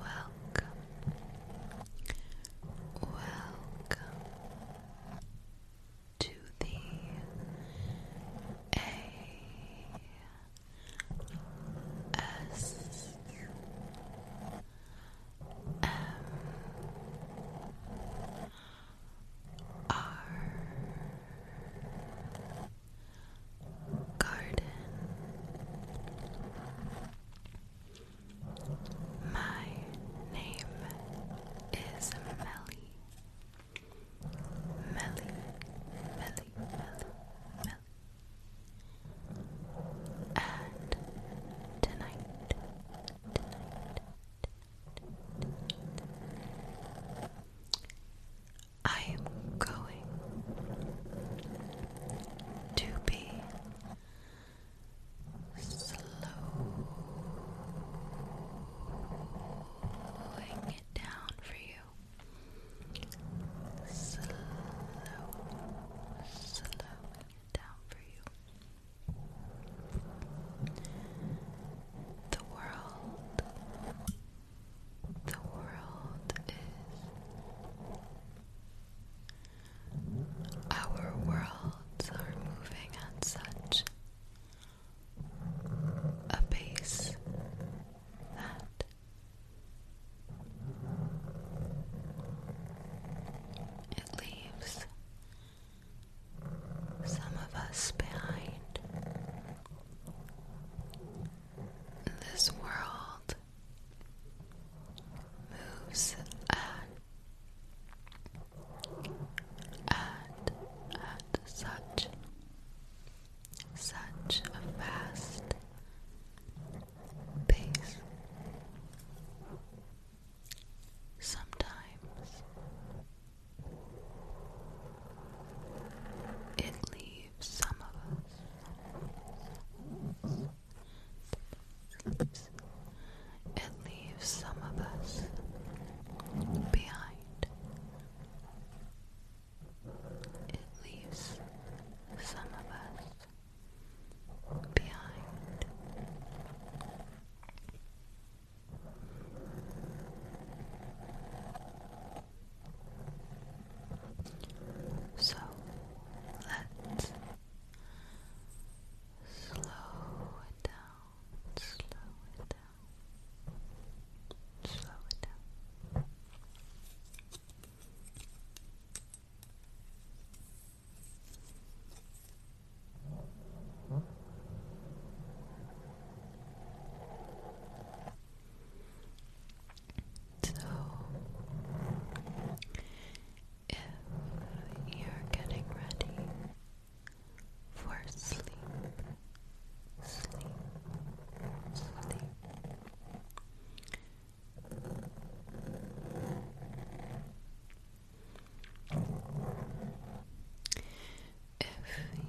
welcome, welcome to the A S M R garden. My name is Melly. Melly, Melly, Melly, Melly. And tonight, I am going to be slowing it down for you. Slow, slowing it down for you. The world the world is. Our worlds are moving at such a pace that it leaves some of us behind this world moves on and at such such a fast pace. Sometimes it leaves some of us it leaves some of us behind. It leaves some of us behind. So let's slow it down, slow it down, slow it down. So, if you're getting ready for sleep, sleep, sleep. If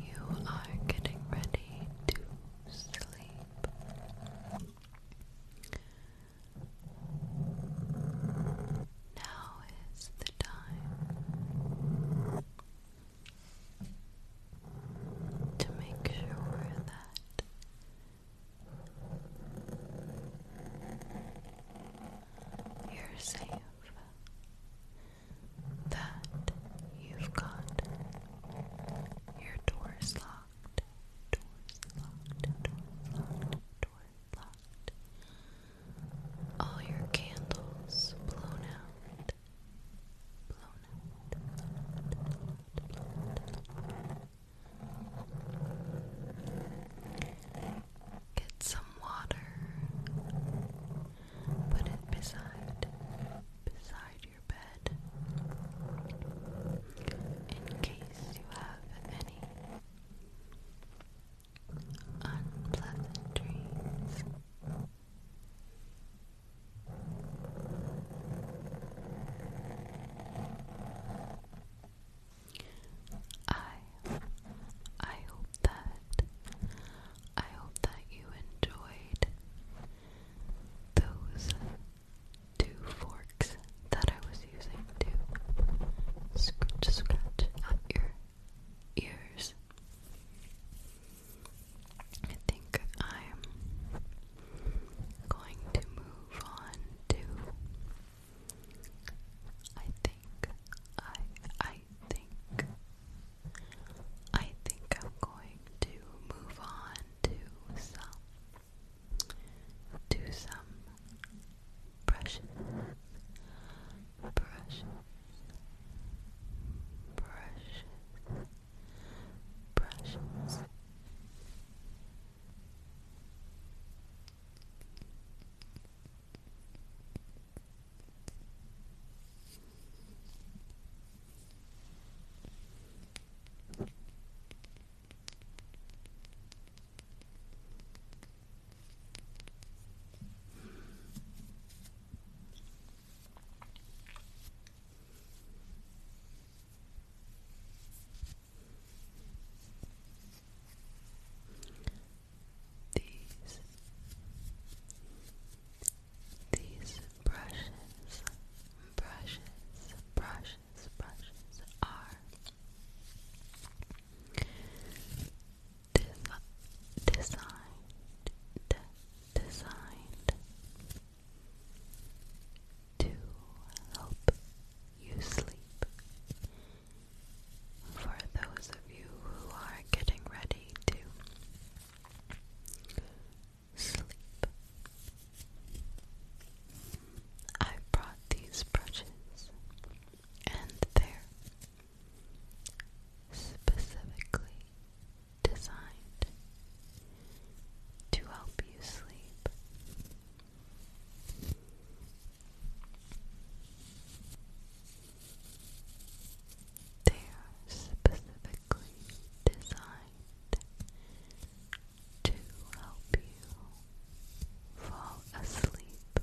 you are getting ready to sleep. Now is the time to make sure that you're safe, that you've got your door is locked. Door locked. Door locked. Door locked. All your candles blown out. Blown out. Blown out. Blown out. Get some water. Put it beside. Beside in case you have any unpleasant dreams. I I hope that I hope that you enjoyed those two forks that I was using to scratch, scratch at your ears. I think I'm going to move on to. I think I I think I think I'm going to move on to some to some brushes brushes brushes brushes these these brushes, brushes, brushes, brushes are designed, designed to help you sleep. For those of you who are getting ready to sleep. I brought these brushes, and they're specifically designed to help you sleep. They are specifically designed to help you fall asleep.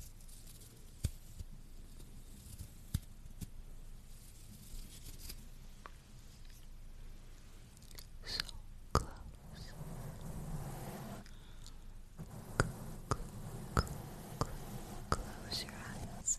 So close. Close, close your eyes.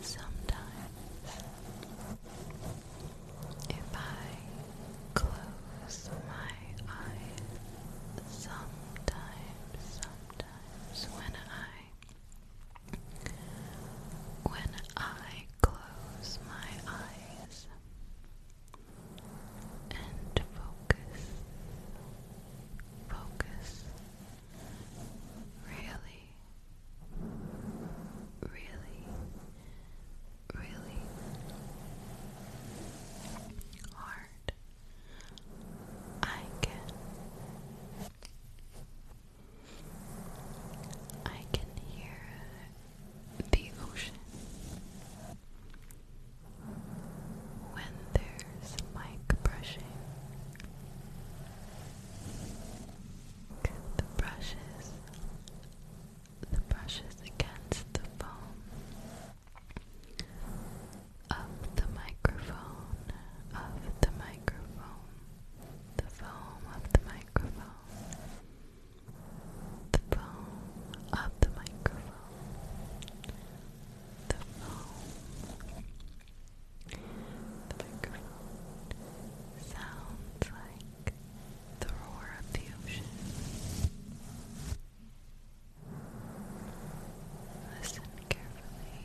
Sometimes, if I close my eyes, sometimes, sometimes when I when I close my eyes and focus, focus, really, really, really hard I can I can hear the ocean when there requires mic brushing. The brushes, the brushes against the foam of the microphone, of the microphone, the foam of the microphone, the foam of the microphone, the foam the microphone sounds like the roar of the ocean. Listen carefully.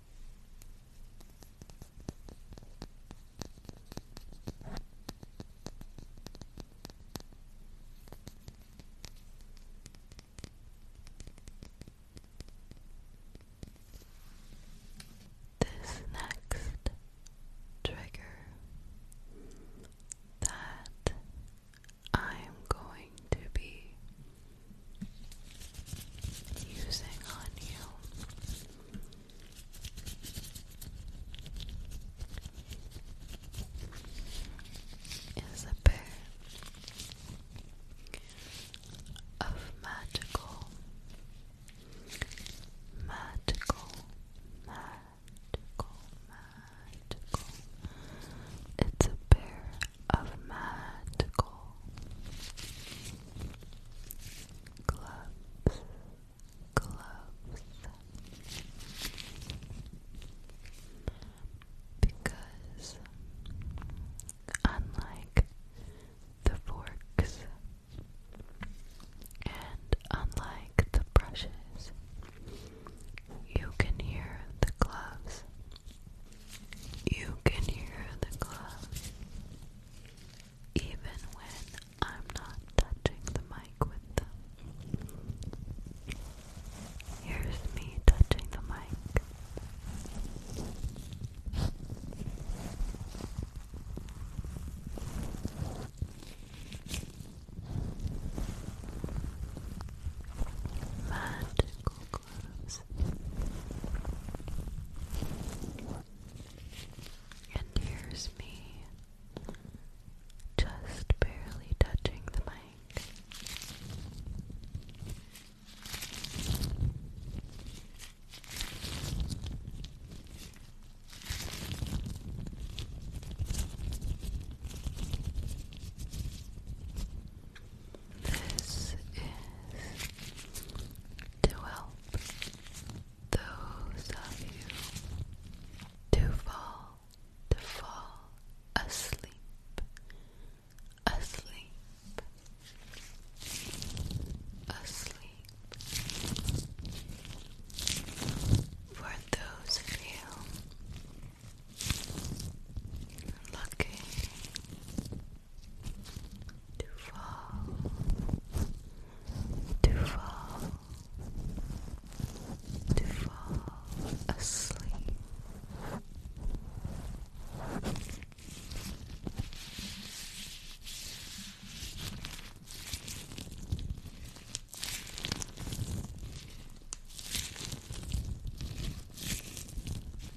This next trigger that I'm going to be using on you. Is a pair of magical, magical, magical, magical. It's a pair of magical gloves, gloves, because unlike the forks and unlike the brushes, you can hear the gloves you can hear the gloves even when I'm not touching the mic with them. Here's me touching the mic. Magical close. And here's me just barely touching the mic. This is to help those of you to fall, to fall asleep, asleep, asleep. For those of you to fall, to fall, to fall asleep.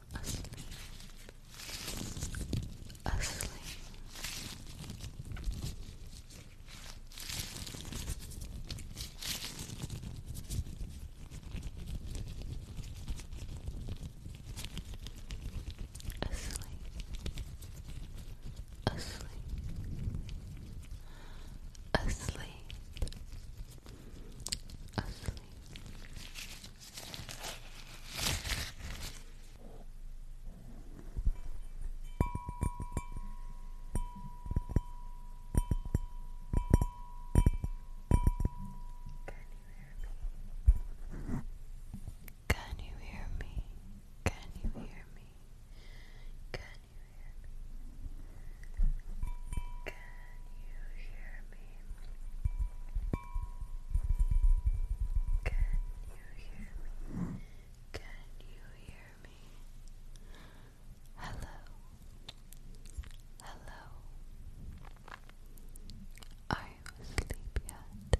asleep, asleep. Asleep, asleep, asleep, asleep. you Can you hear me? Can you hear me? Can you hear me? Can you hear me? Can you hear me? Can you hear me? Hello. Hello. Are you asleep yet?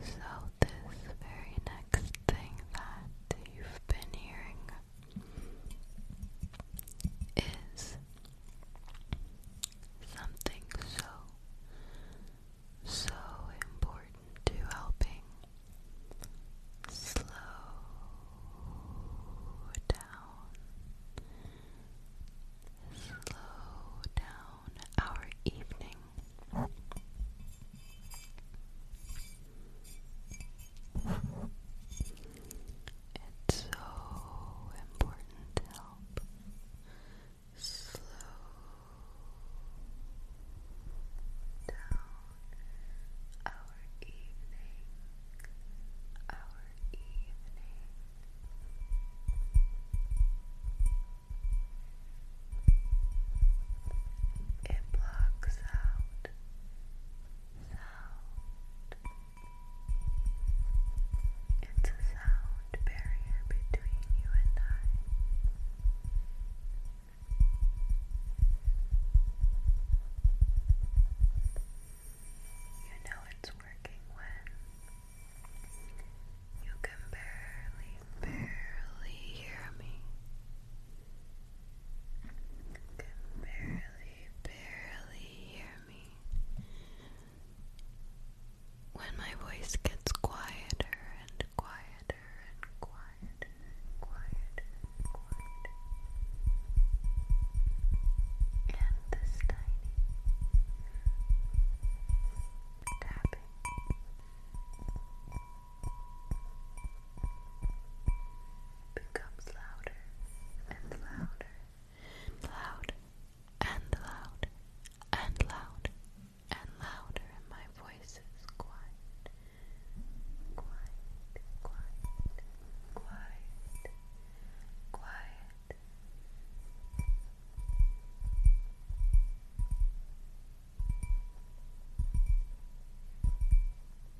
So, this very next thing that you've been hearing is something so, so important to helping slow down, slow down our evening. It's so important to help slow down our evening, our evening. It blocks out sound. It's a sound barrier between you and I. You know it's working when you can barely, barely hear me. I can barely, barely hear me. When my voice gets quieter and quieter and quieter and quieter And this tiny tapping becomes louder and louder and louder and louder and louder and louder and my voice is quiet quiet quiet quiet quiet Quiet,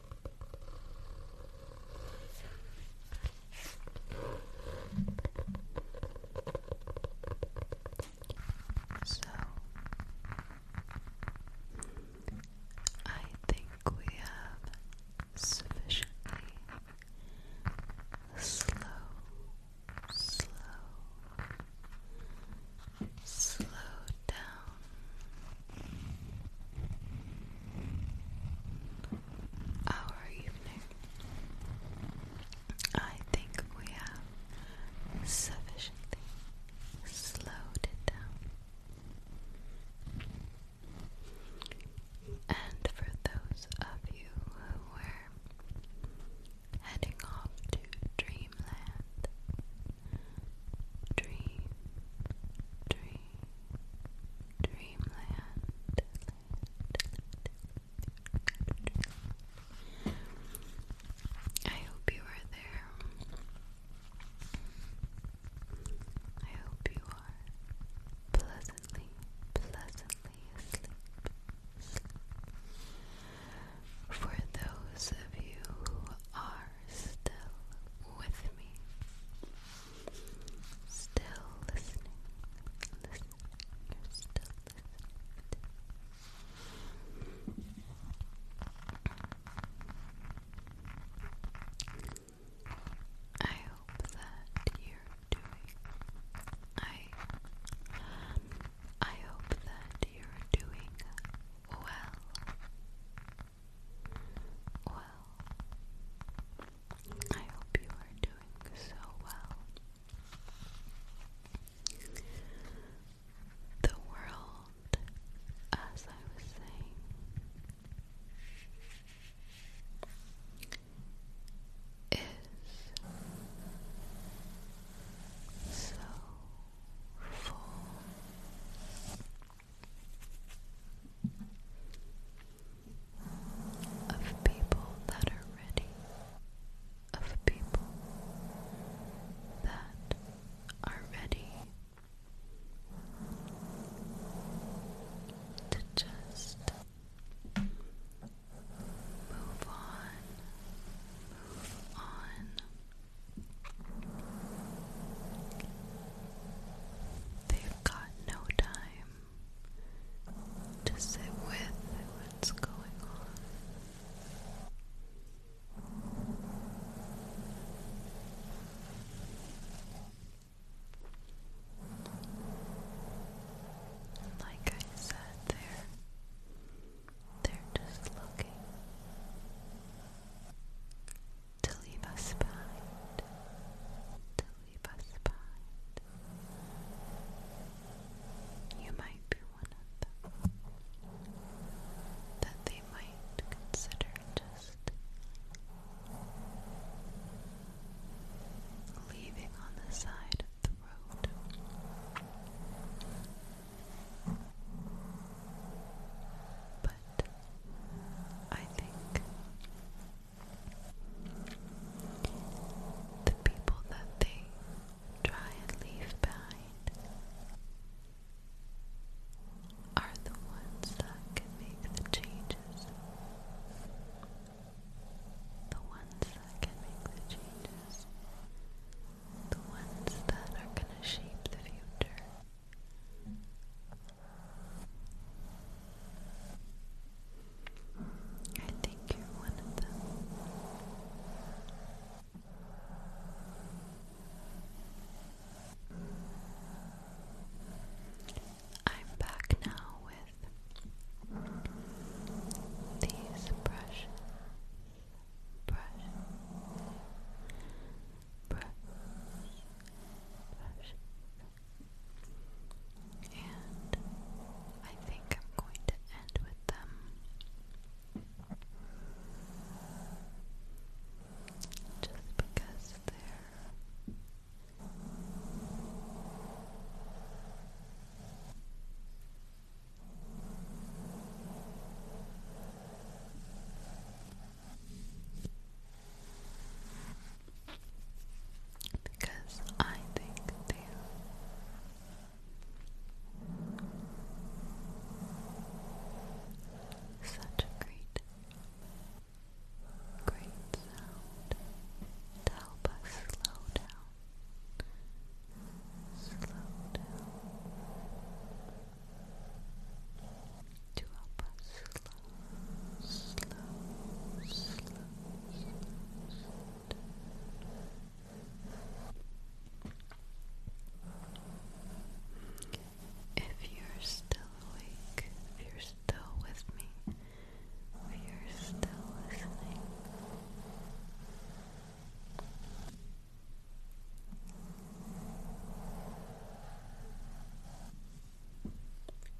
So I think we have sufficiently slow, slow, slow down our evening. I think we have sufficiently slowed it down. And for those of you who were heading off to dreamland, dream, dream, dreamland, I hope you are there. I hope you are pleasantly, pleasantly asleep. For those of you who are still with me, still listening, listening, still listening. I hope that you're doing. I I hope that you're doing well. Well, I hope you are doing so well. The world, as I was saying, is so full of people that are ready, of people that are ready to just move on, move on. they got no time to sit with what's going on. Like I said, they're, they're just looking to leave us behind, to leave us behind. You might be one of them that they might consider just leaving on the side of the road. But but I think the people that they try and leave behind are the ones that can make the changes. The ones that can make the changes. The ones that are going to shape the future. I think you're one of them. I'm back now with these brushes, brush, brush, brush, and I think I'm going to end with them just because they're because I think they are such a great, great sound to help us slow down. Slow down to help us slow, if you're still awake, if you're still with me, if you're still listening,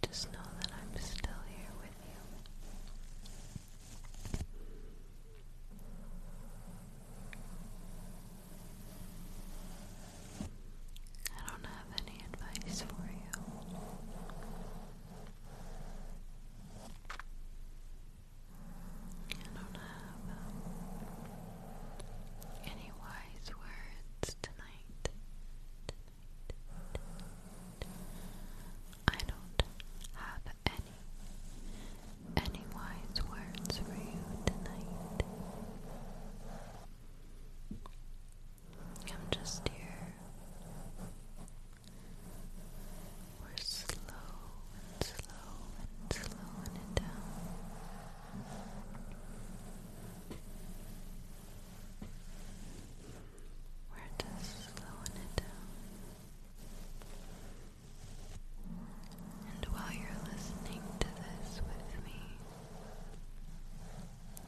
just know that I'm still here with you. I don't have any advice for you. I don't have um, any wise words tonight I don't have any any wise words for you tonight. I'm just here. We're slow slow and slowing it down. We're just slowing it down. And while you're listening to this with me,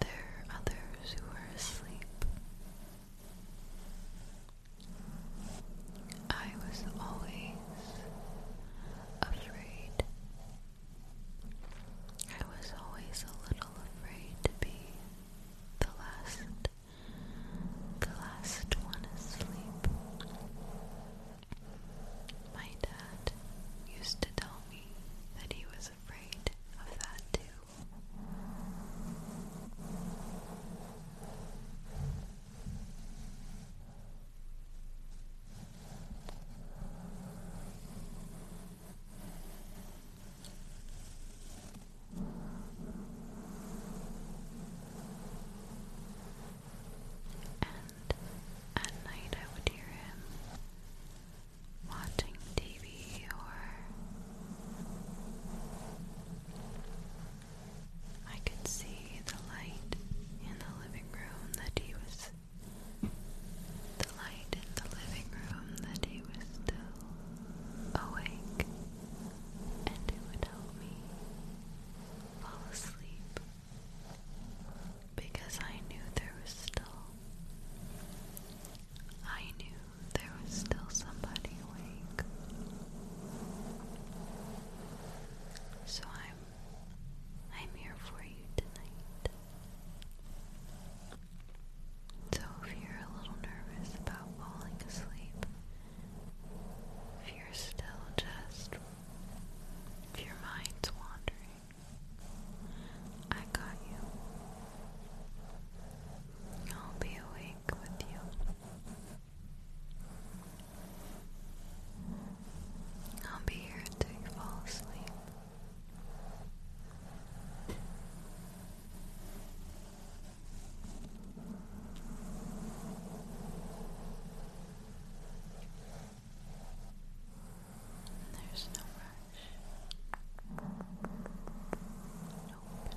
there are others who are asleep. I was always afraid I was always a little afraid to be the last, the last one asleep. My dad used to tell me that he was afraid of that too. And at night, I would hear him watching TV or I could see the light in the living room that he was the light in the living room that he was still awake, and it would help me fall asleep because I knew there was still. I knew there was still somebody awake. So I'm I'm here for you tonight. So if you're a little nervous about falling asleep, if you're still just, if your mind's wandering, I got you. I'll be awake with you. I'll be here until you fall asleep. There's no rush. Nope,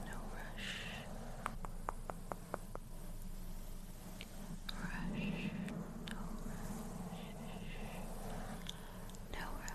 no rush. Rush, no No rush.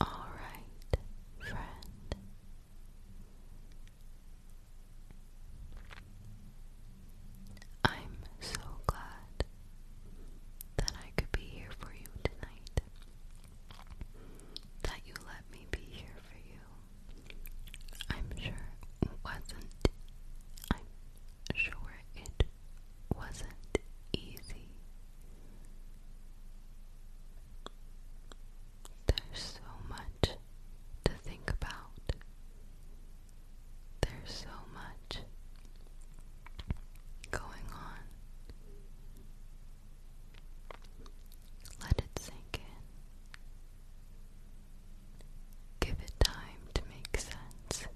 All right, friend. I'm so glad that I could be here for you tonight. That you let me be here for you. I'm sure it wasn't. I'm sure it wasn't easy. There's so much to think about. There's so much going on. Let it sink in. Give it time to make sense.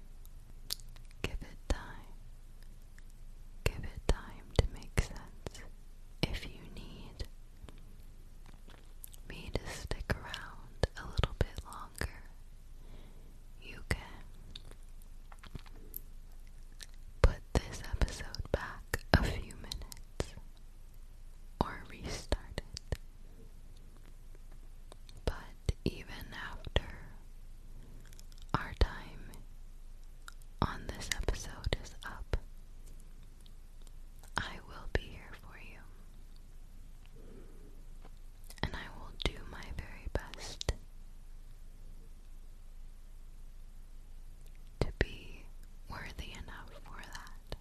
Give it time. Give it time to make sense. If you need me to stick around a little bit longer, you can put this episode back a few minutes or restart it. But even after our time on this episode is up, I will be here for you and I will do my very best to be worthy enough for that.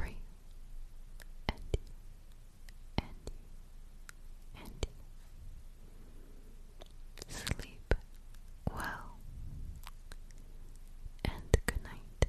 Free. Andy. Andy. Andy. Sleep well and good night.